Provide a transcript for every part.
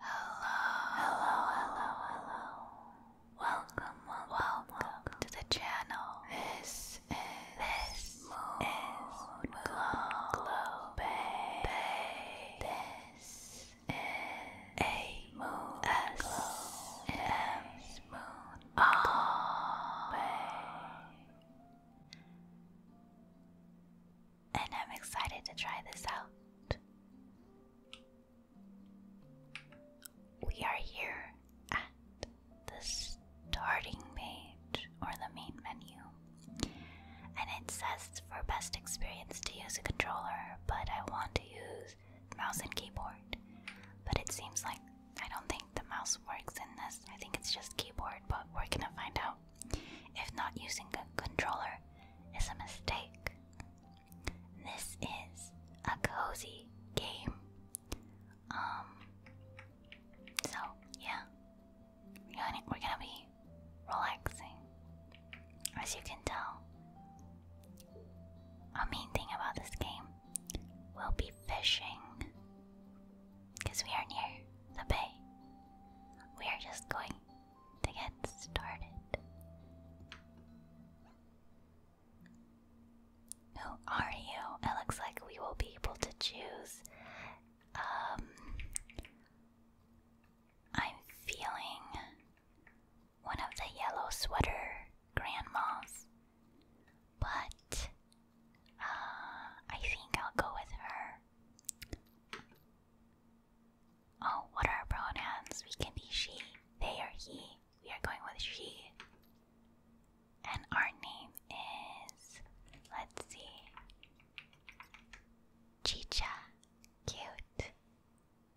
Hello, hello, hello, hello. Welcome, welcome, to the channel. This is this is moon glow, Bay. This is a moon S M moon And I'm excited to try this out. We are here at the starting page or the main menu. And it says for best experience to use a controller, but I want to use mouse and keyboard. But it seems like I don't think the mouse works in this. I think it's just keyboard, but we're gonna find out if not using a controller is a mistake. This is a cozy game. Um. So yeah, we're gonna be relaxing. As you can tell, our main thing about this game will be fishing. Because we are near the bay. We are just going to get started. Who are you? It looks like we will be able to choose. Um, I'm feeling one of the yellow sweater grandmas, but uh, I think I'll go with her. Oh, what are pronouns? We can be she, they, or he. We are going with she. And our name is, let's see, Chicha. Cute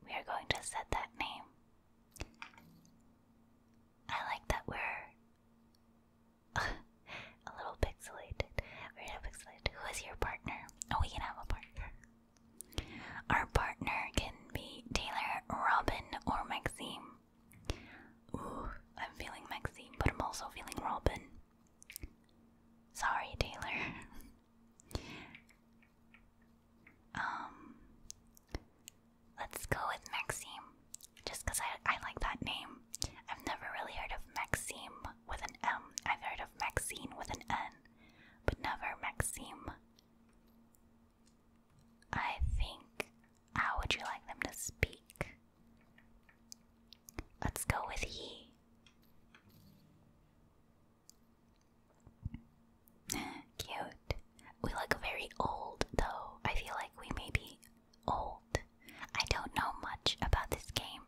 we are going to set that name. I like that we're a little pixelated. we pixelated. Who is your partner? Oh, we can have a partner. Our partner can be Taylor, Robin, or Maxime. Ooh, I'm feeling Maxime, but I'm also feeling Robin. Sorry, Taylor. Um, let's go with Maxime, just because I, I like that name. I've never really heard of Maxime with an M. I've heard of Maxine with an N, but never Maxime. I think. How would you like them to speak? Let's go with he. Cute. We look very old though. I feel like we may be old. I don't know much about this game.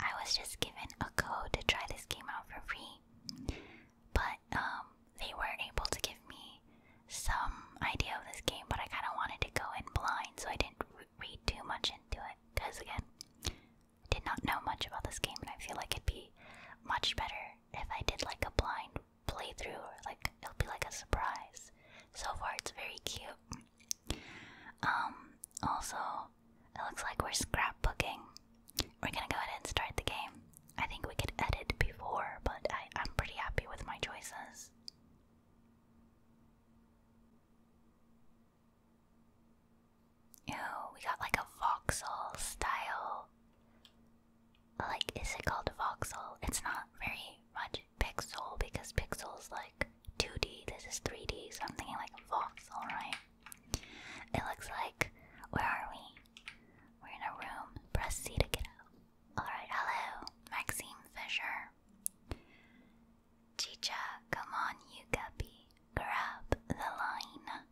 I was just given a code to try this game out for free. But um they were able to give me some idea of this game, but I kind of wanted to go in blind, so I didn't read too much into it. Because again, I did not know much about this game, and I feel like it'd be much better if I did like a blind playthrough, or like it'll be like a surprise. So far, it's very cute. Um, also, it looks like we're scrapbooking. We're gonna go ahead and start the game. I think we could edit before, but I, I'm pretty happy with my choices. Ew, we got like a voxel style like is it called voxel? It's not very much pixel because pixel's like 2D, this is 3D, so I'm thinking like voxel, right? It looks like where are we? We're in a room. Press C to get out. Alright, hello. Maxime Fisher. Chicha, come on, you guppy. Grab the line.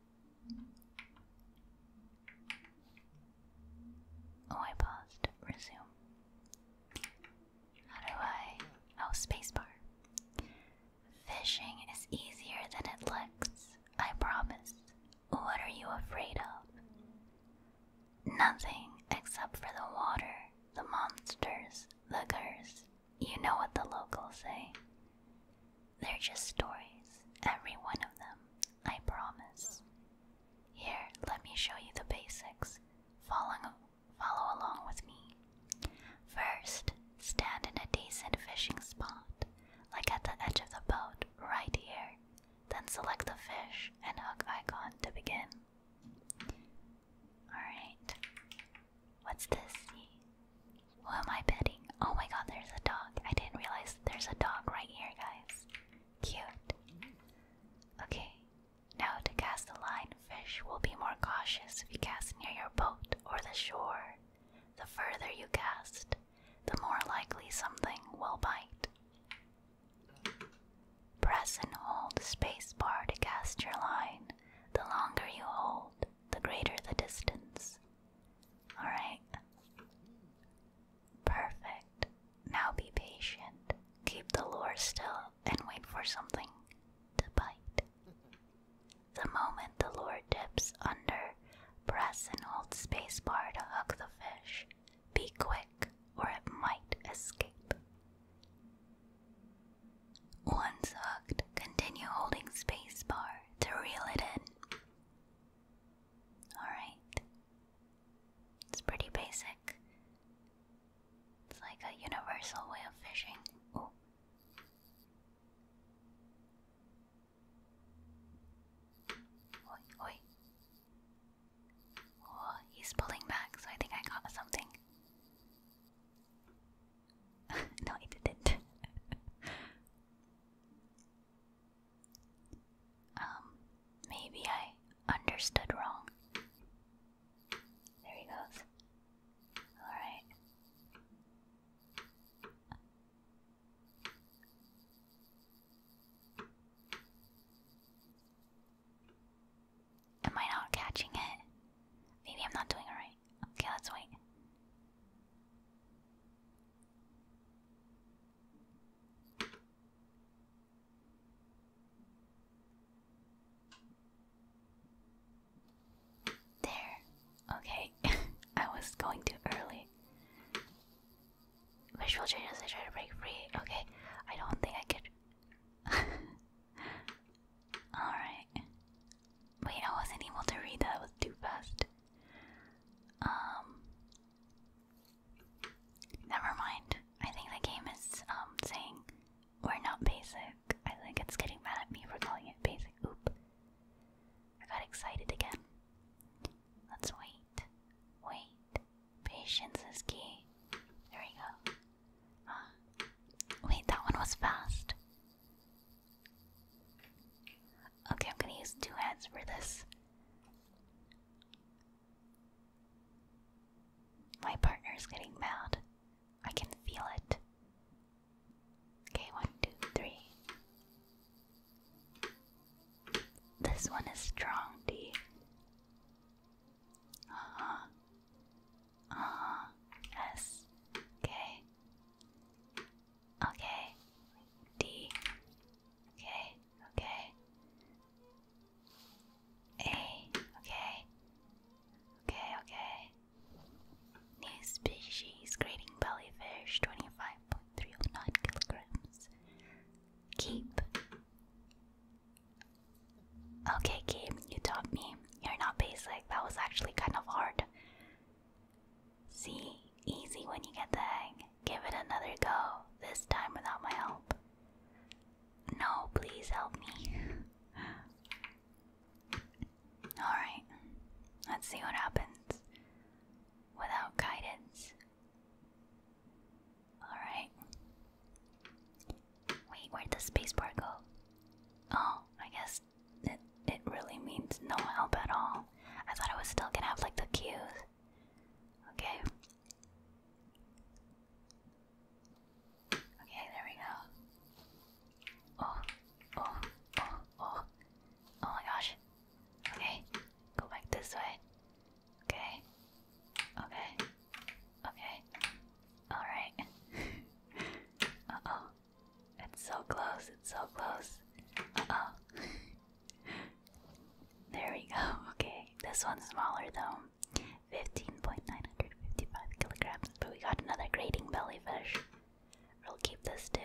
Oh, I paused. Resume. do I? Oh, spacebar. Fishing is easier than it looks. I promise. What are you afraid of? Nothing except for the water, the monsters, the curse. You know what the locals say. They're just stories, every one of them. I promise. Here, let me show you the basics. Follow, follow along with me. First, stand in a decent fishing spot, like at the edge of the boat, right here. Then select the fish and hook icon to begin. Alright. What's this? Who am I petting? Oh my god, there's a dog. I didn't realize there's a dog right here, guys. Cute. Okay, now to cast a line, fish will be more cautious if you cast near your boat or the shore. The further you cast, the more likely something will bite. Press and hold spacebar to cast your line. The longer you hold, the greater the distance. Alright. Perfect. Now be patient. Keep the lure still and wait for something to bite. The moment the lure dips under, press and hold spacebar to hook the fish. Be quick or it might escape. Once hooked, continue holding spacebar to reel it in. Alright. It's pretty basic. It's like a universal way of fishing. Oi, oi. Oh, he's pulling back, so I think I got something. no, I didn't. Um, maybe I understood wrong. There he goes. Alright. Am I not catching it? Maybe I'm not doing it right. Okay, let's wait. There. Okay, I was going too early. Visual changes, I try to break free. Okay, I don't think I could. Alright. Wait, I wasn't able to read that, it was too fast. Um, never mind. I think the game is um saying we're not basic. I think it's getting mad at me for calling it basic. Oop. I got excited again. Let's wait. Wait. Patience is key. There we go. Huh. Wait, that one was fast. Okay, I'm gonna use two hands for this. My partner is getting mad. I can feel it. Okay, one, two, three. This one is strong, D. Uh huh. Uh-huh. S. Okay. Okay. D. Okay. Okay. A. Okay. Okay. Okay. New species: Grading bellyfish, twenty-five point three oh nine kilograms. Keep. Okay, game, you taught me. You're not basic. That was actually kind of hard. See, easy when you get the hang. Give it another go, this time without my help. No, please help me. Alright, let's see what happens without guidance. Alright. Wait, where'd spacebar go? Oh, I guess it, it really means no help at all. I thought I was still gonna have like the cues. Okay. Okay, there we go. Oh, oh, oh, oh. Oh my gosh. Okay, go back this way. Okay. Okay. Okay. Alright. uh oh. It's so close, it's so close. Uh oh. there we go. Okay, this one's smaller though. 15.955 kilograms. But we got another grating bellyfish. We'll keep this too.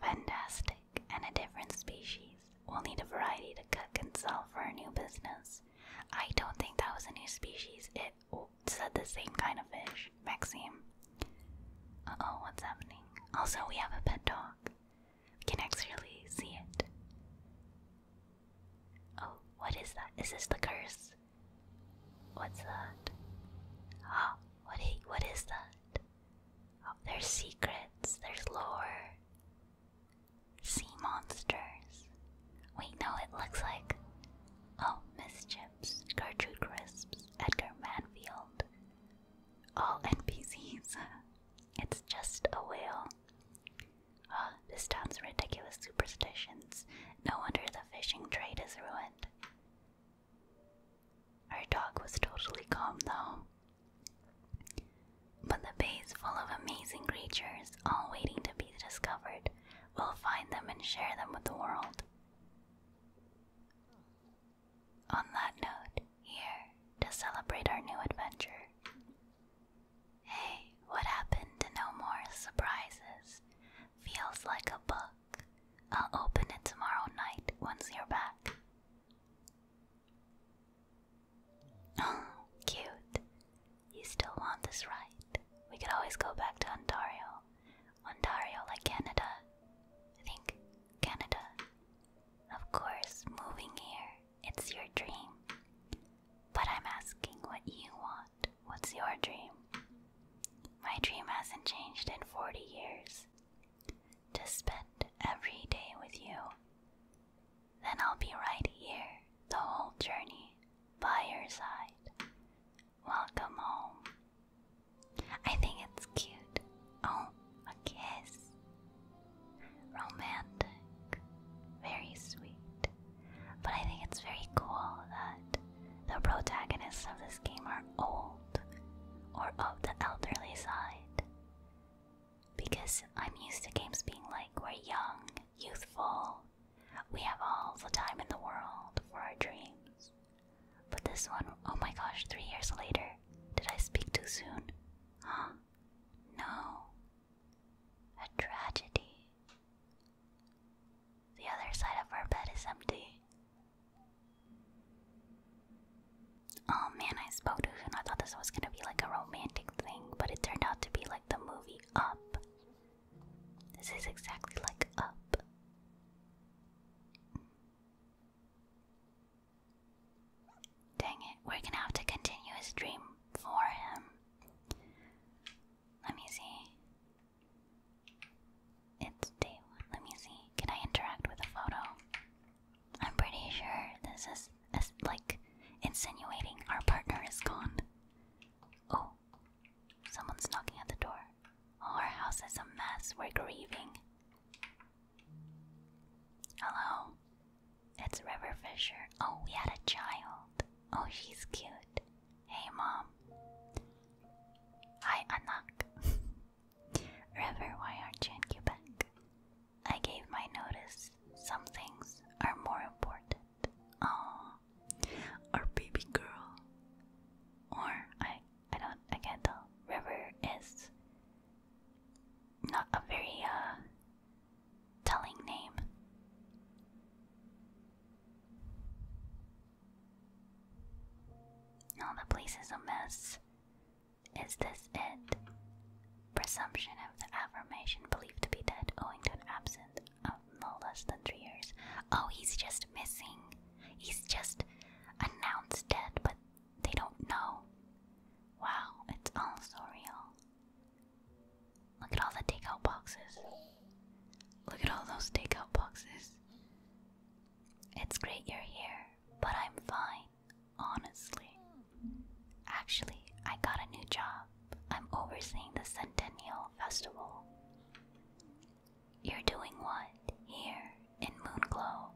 Fantastic. And a different species. We'll need a variety to cook and sell for our new business. I don't think that was a new species. It said the same kind of fish, Maxime. Uh oh, what's happening? Also, we have a pet dog. Can can actually see it. Oh, what is that? Is this the curse? What's that? Oh, what, what is that? Oh, there's secrets, there's lore. Sea monsters. Wait, no, it looks like. Oh, Miss Chips, Gertrude Crisps, Edgar Manfield, all NPCs. It's just a whale. Ah, this town's ridiculous superstitions. No wonder the fishing trade is ruined. Our dog was totally calm though. But the bay's full of amazing creatures, all waiting to be discovered. We'll find them and share them with the world. On that note, here to celebrate our new adventure. Hey, what happened to no more surprises? Feels like a book. I'll open it tomorrow night once you're back. Oh, cute. You still want this, right? We could always go back to Ontario. Ontario, like Canada. I think Canada of course, moving here, it's your dream. But I'm asking what you want. What's your dream? My dream hasn't changed in 40 years. To spend every day with you. Then I'll be right here the whole journey by your side. Welcome home. I think it's cute. Oh, a kiss. Romantic. Very sweet. But I think it's very cool that the protagonists of this game are old or of the elderly side. Because I'm used to games being like we're young, youthful, we have all the time in the world for our dreams. But this one, oh my gosh, three years later. Did I speak too soon? Huh? No. A tragedy. The other side of our bed is empty. Oh man, I spoke too soon. I thought this was gonna be like a romantic thing, but it turned out to be like the movie Up. This is exactly like Up. Dang it, we're gonna have to continue his dream for him. Let me see. It's day one. Let me see. Can I interact with a photo? I'm pretty sure this is, like insinuating our partner is gone. Oh, someone's knocking at the door. our house is a mess. We're grieving. Hello, it's River Fisher. Oh, we had a child. Oh, she's cute. Hey, mom. Hi, Anak. River, why aren't you in Quebec? I gave my notice. Some things are more important. Oh, our baby girl. Or I I don't, I can River is not a very uh, telling name. No, the place is a mess. Is this it? Presumption of the affirmation believed to be dead owing to an absence of no less than three years. Oh, he's just missing. He's just announced dead, but they don't know. Wow, it's all surreal. Look at all the takeout boxes. Look at all those takeout boxes. It's great you're here, but I'm fine, honestly. Actually, I got a new job. I'm overseeing the Centennial Festival. You're doing what here in Moonglow.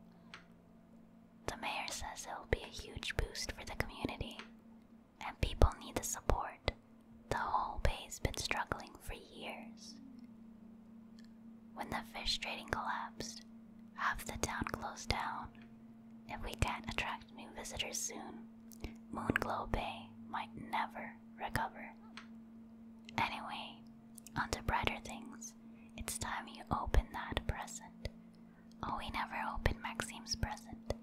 The mayor says it will be a huge boost for the community, and people need the support. The whole bay's been struggling for years. When the fish trading collapsed, half the town closed down. If we can't attract new visitors soon, Moonglow Bay might never recover. Anyway, on to brighter things. It's time you open that present. Oh, we never opened Maxime's present.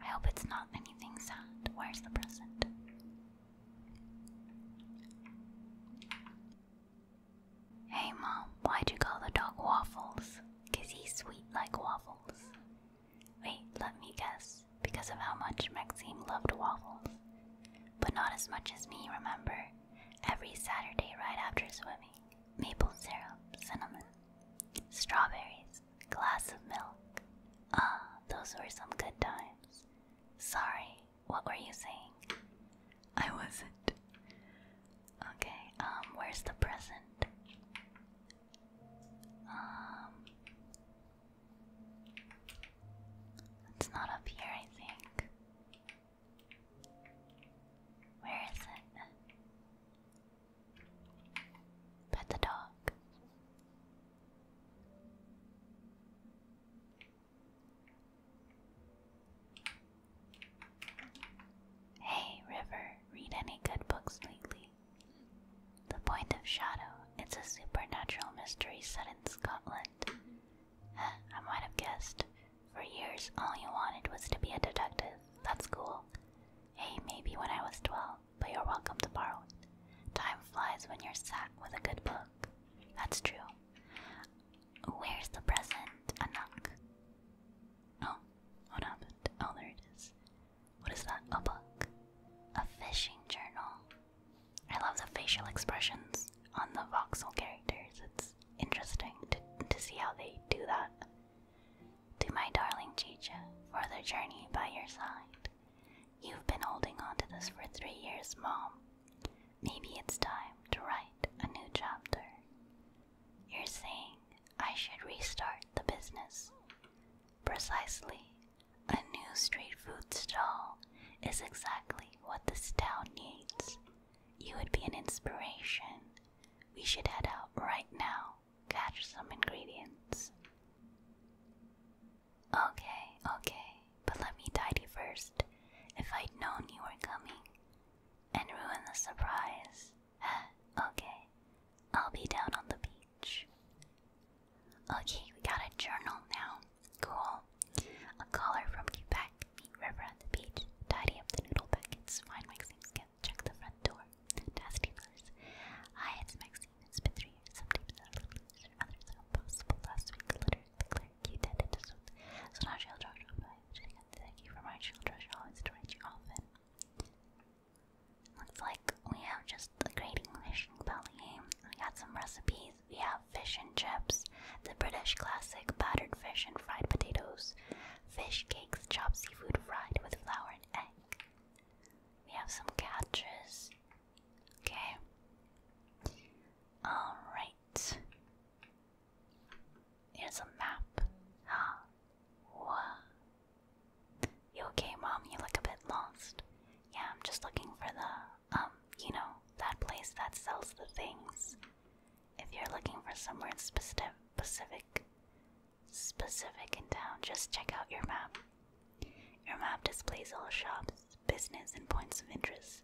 I hope it's not anything sad. Where's the present? Hey mom, why'd you call the dog Waffles? Cause he's sweet like waffles. Wait, let me guess. Because of how much Maxime loved waffles. But not as much as me, remember? every Saturday right after swimming. Maple syrup, cinnamon, strawberries, glass of milk. Ah, those were some good times. Sorry, what were you saying? I wasn't. Okay, um, where's the present? Um, it's not up here, I think. Where is it? Pet the dog. Hey, River, read any good books lately? The Point of Shadow. It's a supernatural mystery set in Scotland. I might have guessed. For years, all you wanted was to be a detective. That's cool. Hey, maybe when I was 12, but you're welcome to borrow it. Time flies when you're sat with a good book. That's true. Where's the present? A knock. Oh, what happened? Oh, there it is. What is that? A book? A fishing journal. I love the facial expressions on the voxel characters. It's interesting to, to see how they do that. To my darling Chicha, for the journey by your side. You've been holding on to this for three years, Mom. Maybe it's time to write a new chapter. You're saying I should restart the business. Precisely. A new street food stall is exactly what this town needs. You would be an inspiration. We should head out right now, catch some ingredients. Okay, okay, but let me tidy first. If I'd known you were coming, and ruin the surprise. okay, I'll be down on the beach. Okay, we got a journal now. Cool. A caller from Quebec. Meet River at the up the noodle packets. Find Maxime's gift. Check the front door. Dusty first. Hi, it's Maxime. It's been three years. Some others are impossible. Last week, glitter, the you did it. So now she'll draw Thank you for my children. She always torrent you often. Looks like we have just a great English belly We got some recipes we have fish and chips, the British classic battered fish and fried potatoes, fish cakes, chopped seafood fried with flour and egg. We have some catches. Okay. Alright. Here's a map. Huh. Whoa. You okay, mom? You look a bit lost. Yeah, I'm just looking for the um, you know, that place that sells the things. If you're looking for somewhere specific, specific, specific in town, just check out your map. Your map displays all shops, business, and points of interest.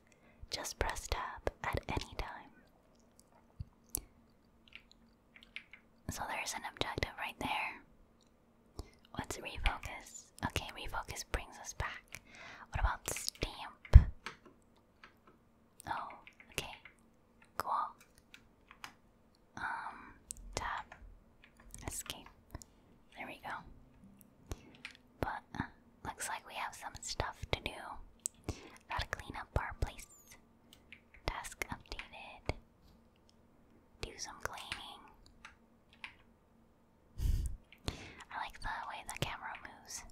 Just press tab at any time. So there's an objective right there. Let's refocus? Okay, refocus brings us back. What about stamp? Oh, okay. Cool. Um, tab. Escape. There we go. But uh, looks like we have some stuff to do. Gotta clean up our place. Task updated. Do some cleaning. I like the way the camera moves.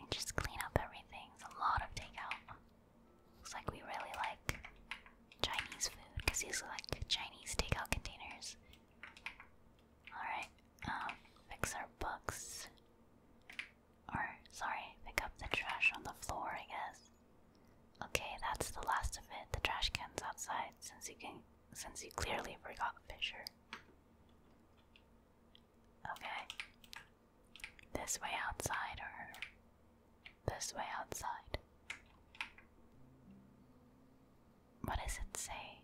And just clean up everything. It's a lot of takeout. Looks like we really like Chinese food because these are like Chinese takeout containers. Alright, um, fix our books. Or, sorry, pick up the trash on the floor, I guess. Okay, that's the last of it. The trash can's outside since you can since you clearly forgot Fisher. Okay. This way outside or this way outside. What does it say?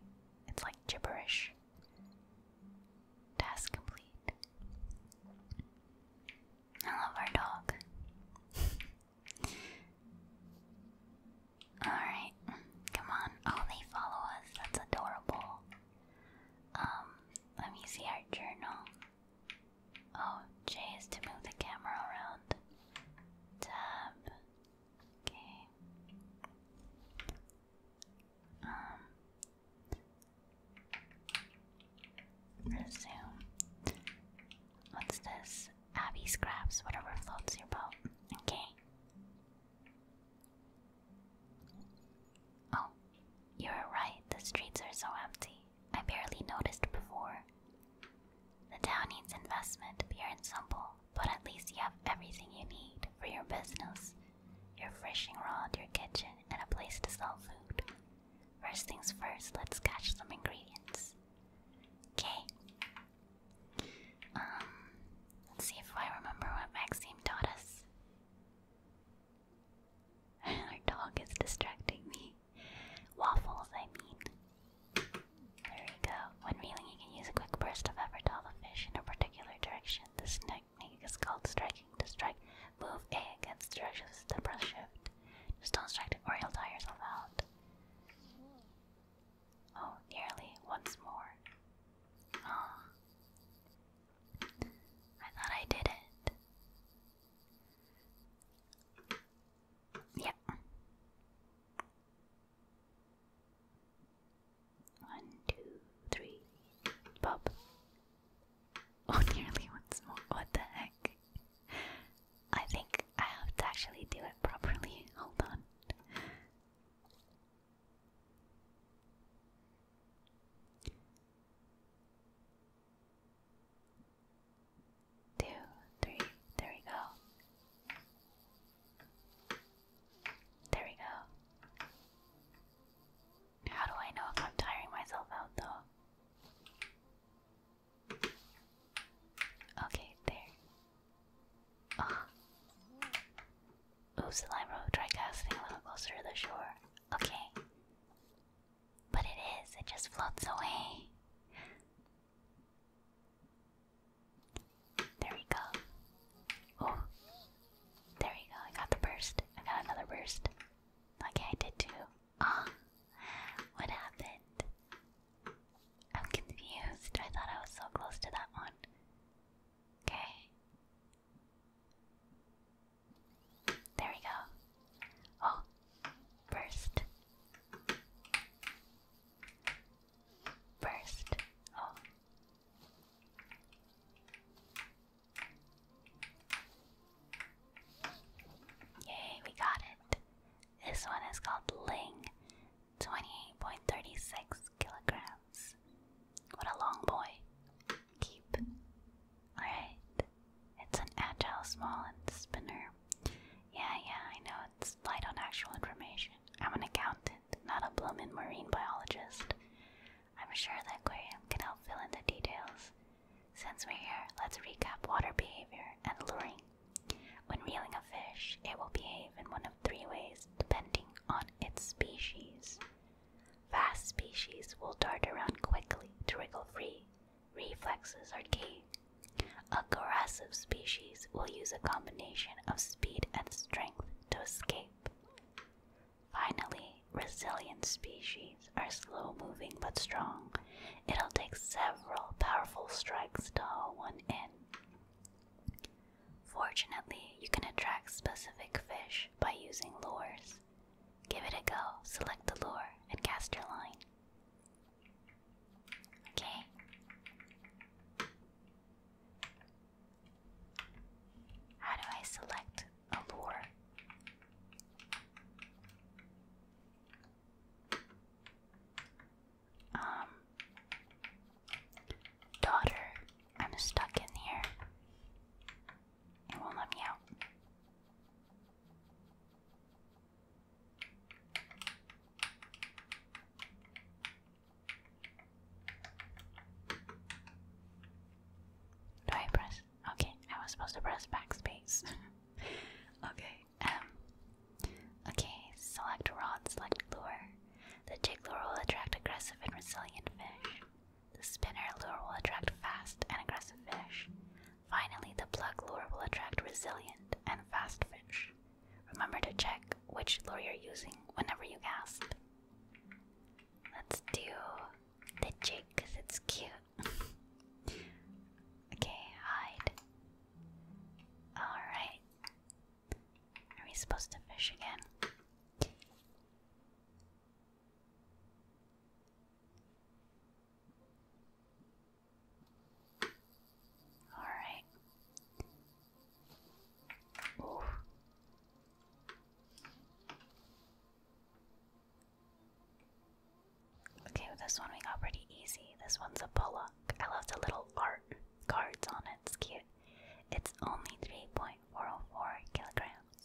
It's like gibberish. Task complete. I love our dog. Alright, come on. Oh, they follow us. That's adorable. Um, let me see our journal. Oh, Jay is to move the camera around. Tab. Okay. Um. Resume. What's this? Abby scraps, whatever floats your boat. Okay. Oh, you're right, the streets are so empty. I barely noticed before. The town needs investment, pure and simple, but at least you have everything you need for your business your fishing rod, your kitchen, and a place to sell food. First things first, let's catch some ingredients. Okay. Um, Let's see if I remember what Maxime taught us. Our dog is distracting me. Waffles, I mean. There we go. When reeling, you can use a quick burst of effort to fish in a particular direction. This technique is called striking to strike. Move A against the direction of shift. Just don't strike it or you'll tire yourself out. Oh, nearly once more. Oh. I thought I did it. Yep. One, two, three, pop. Oh, nearly once more. What the heck? I think I have to actually do it properly. Hold on. Two, three, there we go. There we go. How do I know if I'm tiring myself out though? Okay, there. Oh. Oops, the wrote try casting a little closer to the shore. Okay. But it is, it just floats away. There we go. Oh. There we go. I got the burst. I got another burst. Okay, I did too. Ah. What happened? I'm confused. I thought I was so close to that one. Okay. There we go. Oh, burst. Burst. Oh. Yay, we got it. This one is called Ling, 28.36 kilograms. What a long boy. Keep. Alright. It's an agile, small, spinner. Yeah, yeah, I know it's light on actual information. I'm an accountant, not a bloomin' marine biologist. I'm sure the aquarium can help fill in the details. Since we're here, let's recap water behavior and luring. When reeling a fish, it will behave in one of three ways depending on its species. Fast species will dart around quickly to wriggle free. Reflexes are key. Aggressive species will use a combination of speed and strength to escape. Finally, resilient species are slow moving but strong. It'll take several powerful strikes to haul one in. Fortunately, you can attract specific fish by using lures. Give it a go, select the lure, and cast your line. Okay. How do I select a lure? Um, Daughter, I'm stuck in here. It won't let me out. Do I press? Okay, I was supposed to press backspace. okay, um. Okay, select rod, select lure. The jig lure will attract aggressive and resilient fish. The spinner lure will attract fast and aggressive fish. Finally, the plug lure will attract resilient and fast fish. Remember to check which lure you're using whenever you cast. Let's do the jig because it's cute. okay, hide. Alright. Are we supposed to fish again? All right. Okay, this one we got pretty easy. This one's a bullock. I love the little art cards on it. It's cute. It's only 3.404 kilograms.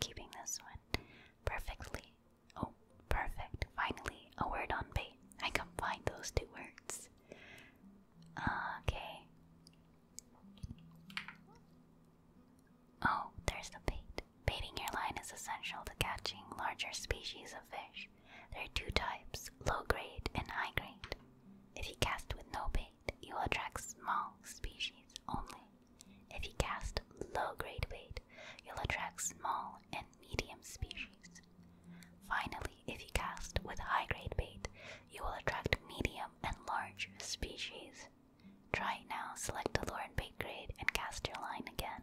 Keeping this one perfectly. Oh, perfect. Finally, a word on bait. I can find those two words. Okay. Oh, there's the bait. Baiting your line is essential to catching larger species of fish. There are two types low grade and high grade. If you cast with no bait, you will attract small species only. If you cast low grade bait, you'll attract small and medium species. Finally, if you cast with high grade bait, you will attract medium and large species. Try it now, select the lure and bait grade, and cast your line again.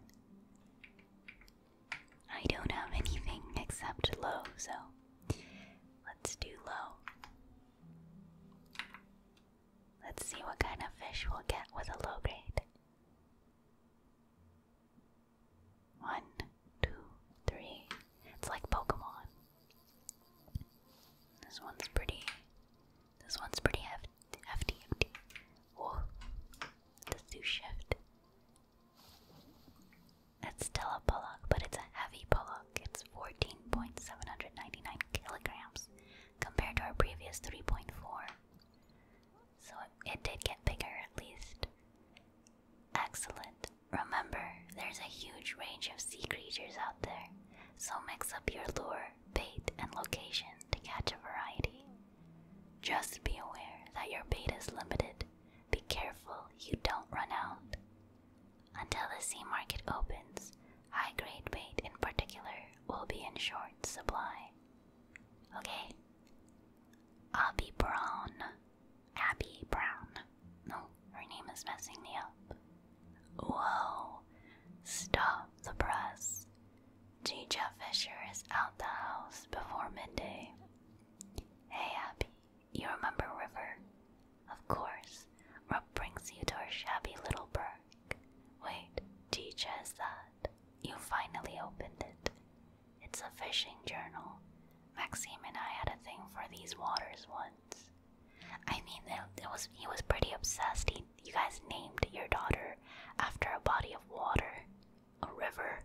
I don't have anything except low, so let's do low. Let's see what kind of fish we'll get with a low grade. One, two, three. It's like Pokemon. This one's pretty. This one's pretty hefty. Let's do shift. That's still a pollock, but it's a heavy pollock. It's 14.799 kilograms compared to our previous 3.4. So it did get bigger at least. Excellent. Remember, there's a huge range of sea creatures out there, so mix up your lure, bait, and location to catch a variety. Just be aware that your bait is limited. Be careful you don't run out. Until the sea market opens, high grade bait in particular will be in short supply. Okay. Abby Brown. Abby Brown. No, her name is messing me up. Whoa. Stop the press. Gija Fisher is out the house before midday. Hey, Abby. You remember River? Of course. Rub brings you to our shabby little burg. Wait, Teach has that. You finally opened it. It's a fishing journal. Maxime and I had a thing for these waters once. I mean, it, was he was pretty obsessed. you guys named your daughter after a body of water, a river.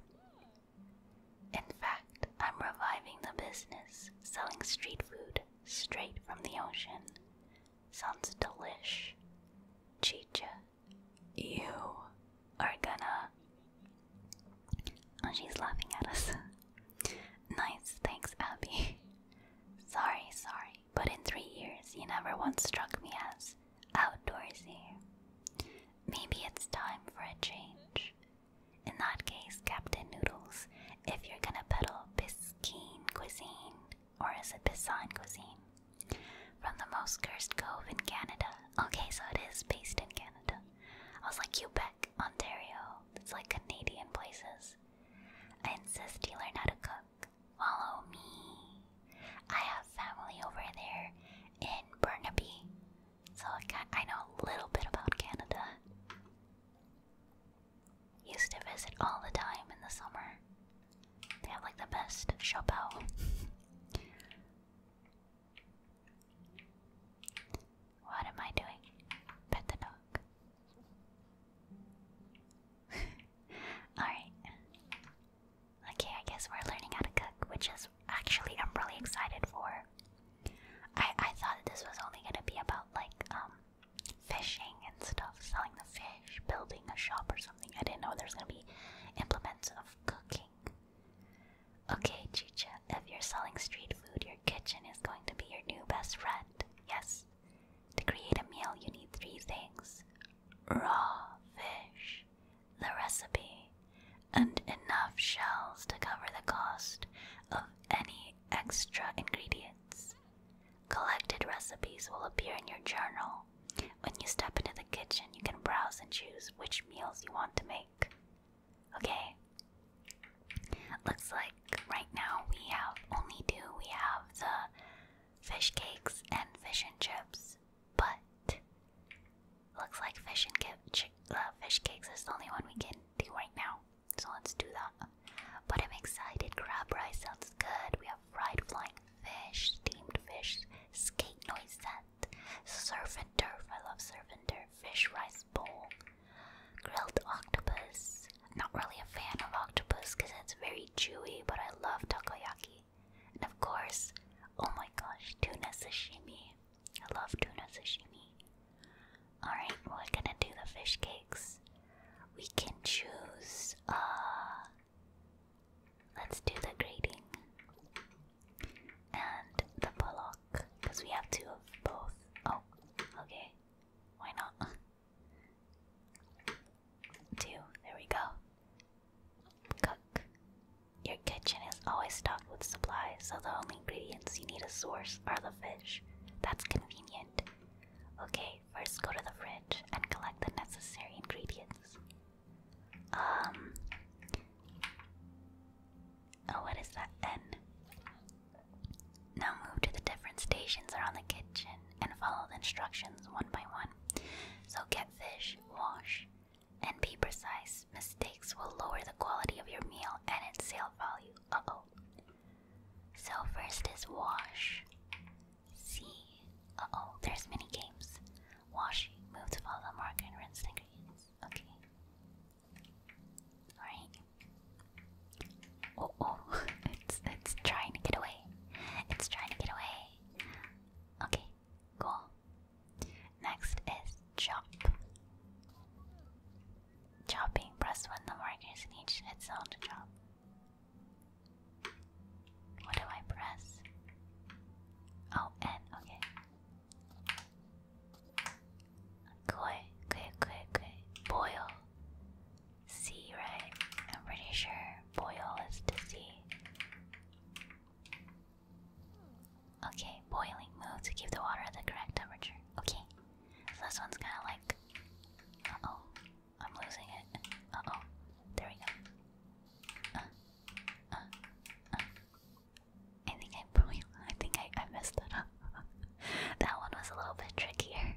In fact, I'm reviving the business, selling street food straight from the ocean. Sounds delish. Chicha, you are gonna. And oh, she's laughing at us. nice, thanks, Abby. sorry, sorry, but in three years, you never once struck me as outdoorsy. Maybe it's time for a change. In that case, Captain Noodles, if you're gonna peddle Biscayne cuisine, or is it Pisan cuisine? From the most cursed cove in Canada. Okay, so it is based in Canada. I was like, Quebec, Ontario. It's like Canadian places. I insist you learn how to cook. Follow me. I have family over there in Burnaby, so I know a little bit about Canada. Used to visit all the time in the summer. They have like the best chapeau. what am I doing? Pet the dog. Alright. Okay, I guess we're learning how to cook, which is actually I'm really excited for. I I thought this was only gonna be about like um, fishing and stuff, selling the fish, building a shop or something. I didn't know there's gonna be implements of cooking. Okay, Chicha, if you're selling street food, your kitchen is going to be your new best friend. Yes. To create a meal, you need three things raw fish, the recipe, and enough shells to cover the cost of any extra ingredients. Collected recipes will appear in your journal. When you step into the kitchen, you can browse and choose which meals you want to make. Okay. Looks like right now we have only two. We have the fish cakes and fish and chips, but looks like fish and uh, fish cakes is the only one we can do right now. So let's do that. But I'm excited. Crab rice sounds good. We have fried flying fish, steamed fish, skate noisette, surf and turf. I love surf and turf. Fish rice bowl, grilled octopus. Not really a fan of octopus because it's very chewy, but I love takoyaki. And of course, oh my gosh, tuna sashimi. I love tuna sashimi. Alright, we're gonna do the fish cakes. We can choose uh let's do the grating and the pollock because we have two of both. Oh, okay. Why not? Two, there we go. Cook. Your kitchen is always stocked with supplies, so the only ingredients you need a source are the fish. That's convenient. Okay, first go to the fridge and collect the necessary ingredients. Um. Oh, what is that then? Now move to the different stations around the kitchen and follow the instructions one by one. So get fish, wash, and be precise. Mistakes will lower the quality of your meal and its sale value. Uh oh. So first is wash. See, Uh oh, there's mini games. Wash, move to follow the marker and rinse the ingredients. Okay. Alright. Oh oh, it's it's trying to get away. It's trying to get away. Okay, cool. Next is chop. Chopping. Press when the markers in each hit zone chop. What do I press? Oh, N. Okay. Koi, koi, koi, koi. Boil. C, right? I'm pretty sure boil is to C. Okay, boiling move to keep the water at the correct temperature. Okay. This one's kind of like. Uh oh. I'm losing it. Uh oh. There we go. Uh, uh, uh. I think I I think I, I messed that up. that one was a little bit trickier.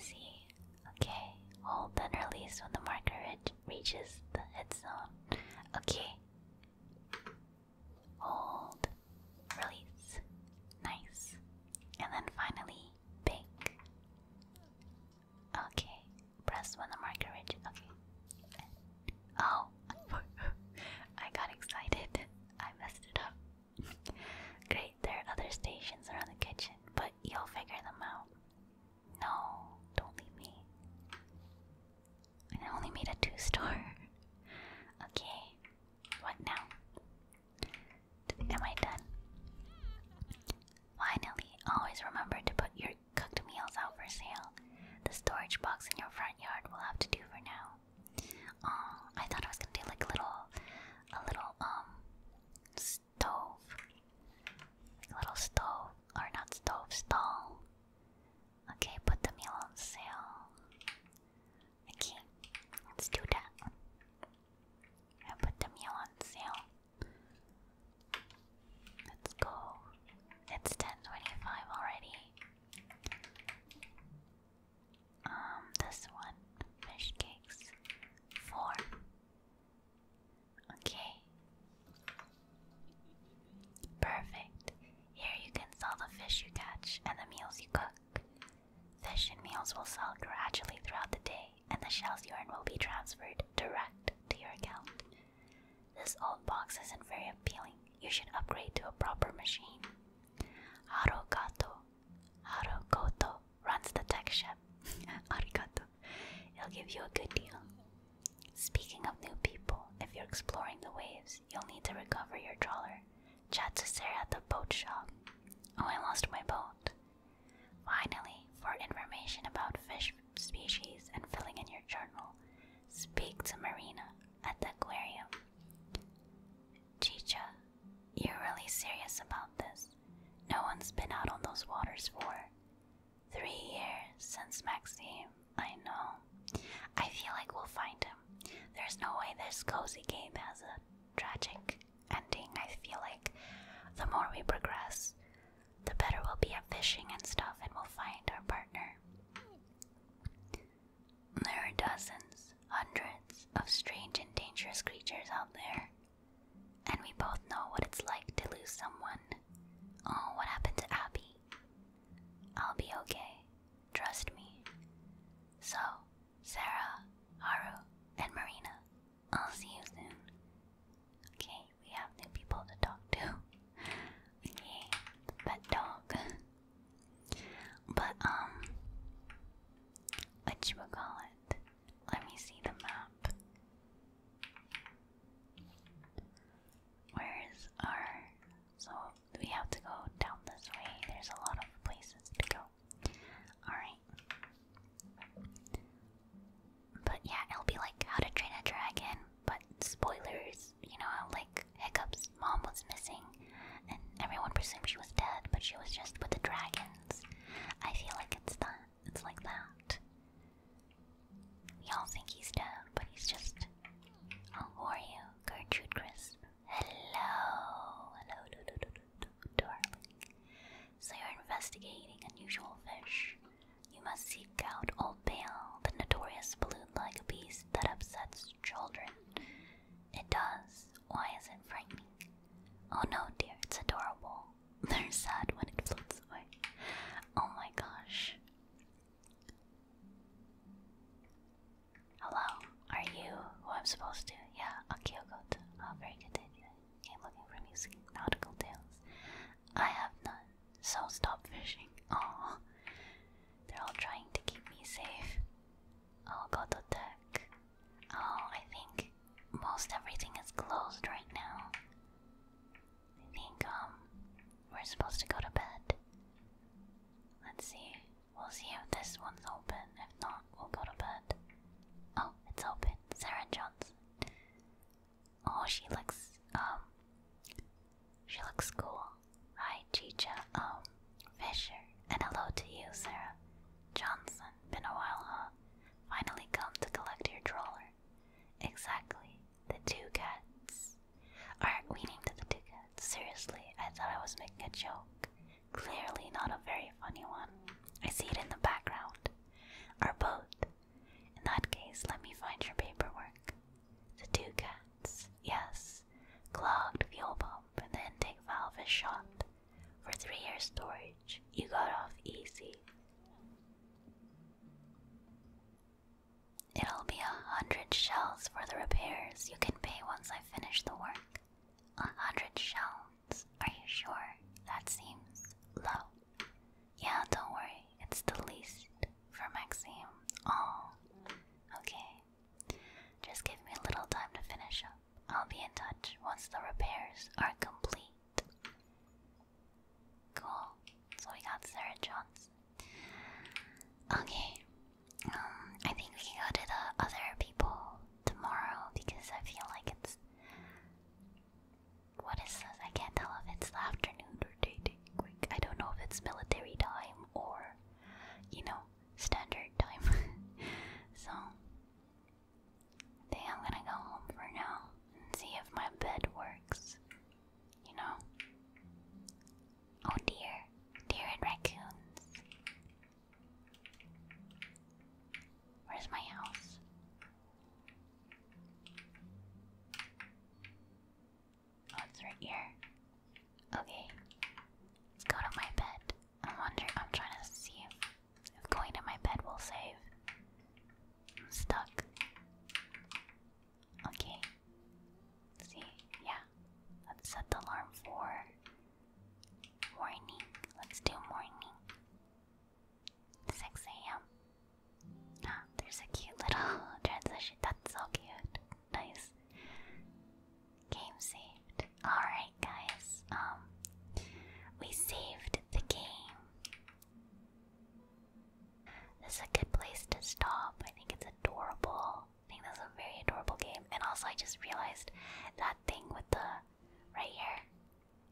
See? Okay. Hold then release when the marker reaches the head zone. Okay hold, release, nice, and then finally bake. Okay, press one the marker reaches. Okay. Oh, I got excited. I messed it up. Great, there are other stations around the kitchen, but you'll figure them out. No, don't leave me. I only made a two-store. okay, what now? Am I done? Finally, always remember to put your cooked meals out for sale. The storage box in your front yard will have to do for now. Oh, I thought I was gonna do like a little, a little um stove, little stove or not stove stall. Okay, put the meal on sale. Okay, let's do that. I'll put the meal on sale. Let's go. It's 10.25 already. Um, this one. Fish cakes. Four. Okay. Perfect. Here you can sell the fish you catch and the meals you cook. Fish and meals will sell gradually throughout the day, and the shell's urine will be transferred direct to your account. This old box isn't very appealing. You should upgrade to a proper machine. Arugato, Harukoto runs the tech shop. Arigato. It'll give you a good deal. Speaking of new people, if you're exploring the waves, you'll need to recover your trawler. Chat to Sarah at the boat shop. Oh, I lost my boat. Finally, for information about fish species and filling in your journal, speak to Marina at the aquarium. Chicha, you're really serious about this. No one's been out on those waters for three years since Maxime. I know. I feel like we'll find him. There's no way this cozy game has a tragic ending. I feel like the more we progress, the better we'll be at fishing and stuff, and we'll find our partner. There are dozens, hundreds of strange and dangerous creatures out there, and we both know what it's like to lose someone. Oh, what happened to Abby? I'll be okay. Trust me. So, Sarah, Haru, and Marina, I'll see you soon. Okay, we have new people to talk to. okay, pet dog. but, um, what you would call it? Let me see the map. Where is our. So we have to go down this way. There's a lot of places to go. Alright. But yeah, it'll be like How to Train a Dragon, but spoilers. You know like, Hiccup's mom was missing, and everyone presumed she was dead, but she was just with the dragons. I feel like it's that. It's like that. We all think he's dead, but he's just. I'll Gertrude Crisp. Hello, hello, darling. So you're investigating unusual fish. You must seek out Old Pale, the notorious balloon-like beast that upsets children. It does. Why is it frightening? Oh no, dear, it's adorable. They're sad when it floats away. Oh my gosh. Hello, are you who I'm supposed to? Yeah, Akio Goto. Oh, very good day. I'm looking for music, nautical tales. I have none, so stop fishing. Oh, they're all trying to keep me safe. Oh, Goto Tech. Oh, I think most everything is closed right now. I think, um, we're supposed to go to bed. Let's see. We'll see if this one's open. If not, we'll go to bed. Oh, it's open. Sarah Johnson. Oh, she looks, um, she looks cool. Hi, Chicha, um, Fisher. And hello to you, Sarah. Johnson, been a while, huh? Finally come to collect your droller. Exactly, the two cats. Alright, we named the two cats. Seriously, I thought I was making a joke. Clearly not a very funny one. I see it in the background. Our boat. In that case, let me find your paperwork. The two cats. Yes. Clogged fuel pump and the intake valve is shot. For three years storage. You got off easy. It'll be a hundred shells for the repairs. You can pay once I finish the work. A hundred shells? Are you sure? That seems low. Yeah, don't worry. It's the least for Maxime. Oh, okay. Just give me a little time to finish up. I'll be in touch once the repairs are complete. Cool. So we got Sarah Johnson. Okay, um, I think we can go to the other people tomorrow because I feel like it's. What is I can't tell if it's afternoon or dating. I don't know if it's military time or, you know, standard time. so, I think I'm gonna go home for now and see if my bed works. You know? Oh dear, deer and raccoons. Where's my house? Oh, right here. Okay. Let's go to my bed. I'm wondering, I'm trying to see if, going to my bed will save. stuck. Okay. see, yeah. Let's set the alarm for Morning. Let's do morning. 6 a.m. Ah, there's a cute little transition. That's so cute. Nice. Game saved. Alright, guys. Um, we saved the game. This is a good place to stop. I think it's adorable. I think that's a very adorable game. And also, I just realized that thing with the right here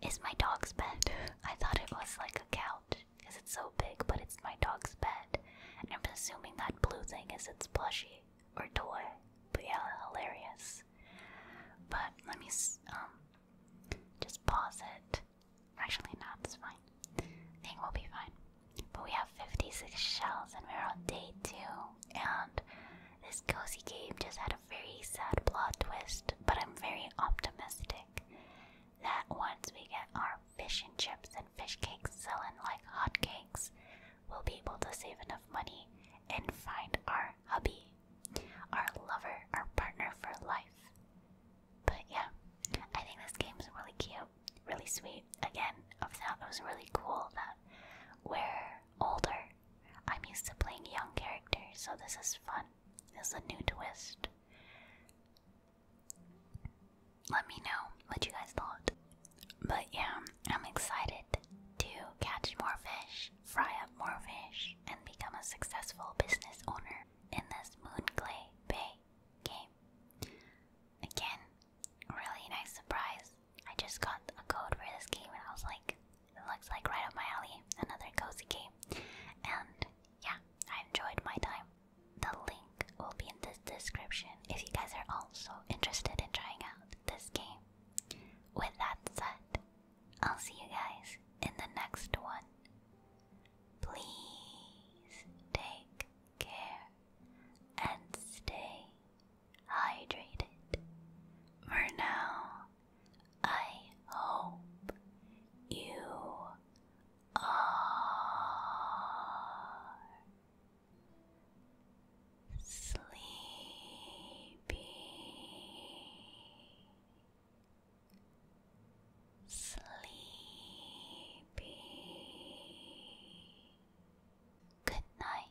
is my dog's bed. I thought it was like a couch because it's so big, but it's my dog's bed. And I'm assuming that blue thing is its plushie or toy. But yeah, hilarious. But let me um just pause it. Actually, no, it's fine. I think we'll be fine. But we have 56 shells, and we're on day two. And this cozy game just had a very sad plot twist, but I'm very optimistic that once we get our fish and chips and fish cakes selling like hotcakes, we'll be able to save enough money and find our hubby, our lover, our partner for life. But yeah, I think this game is really cute, really sweet. Again, I thought it was really cool that we're older. I'm used to playing young characters, so this is fun. This is a new twist. Let me know what you guys thought. But yeah, I'm excited to catch more fish, fry up more fish, and become a successful business owner in this Moonclay Bay game. Again, really nice surprise. I just got a code for this game and I was like, it looks like right up my alley, another cozy game. And yeah, I enjoyed my time. The link will be in the description if you guys are also interested in trying out this game. With that said, I'll see you guys in the next one. Please take care and stay hydrated. For now, I hope you are sleepy. Sleepy. Good night.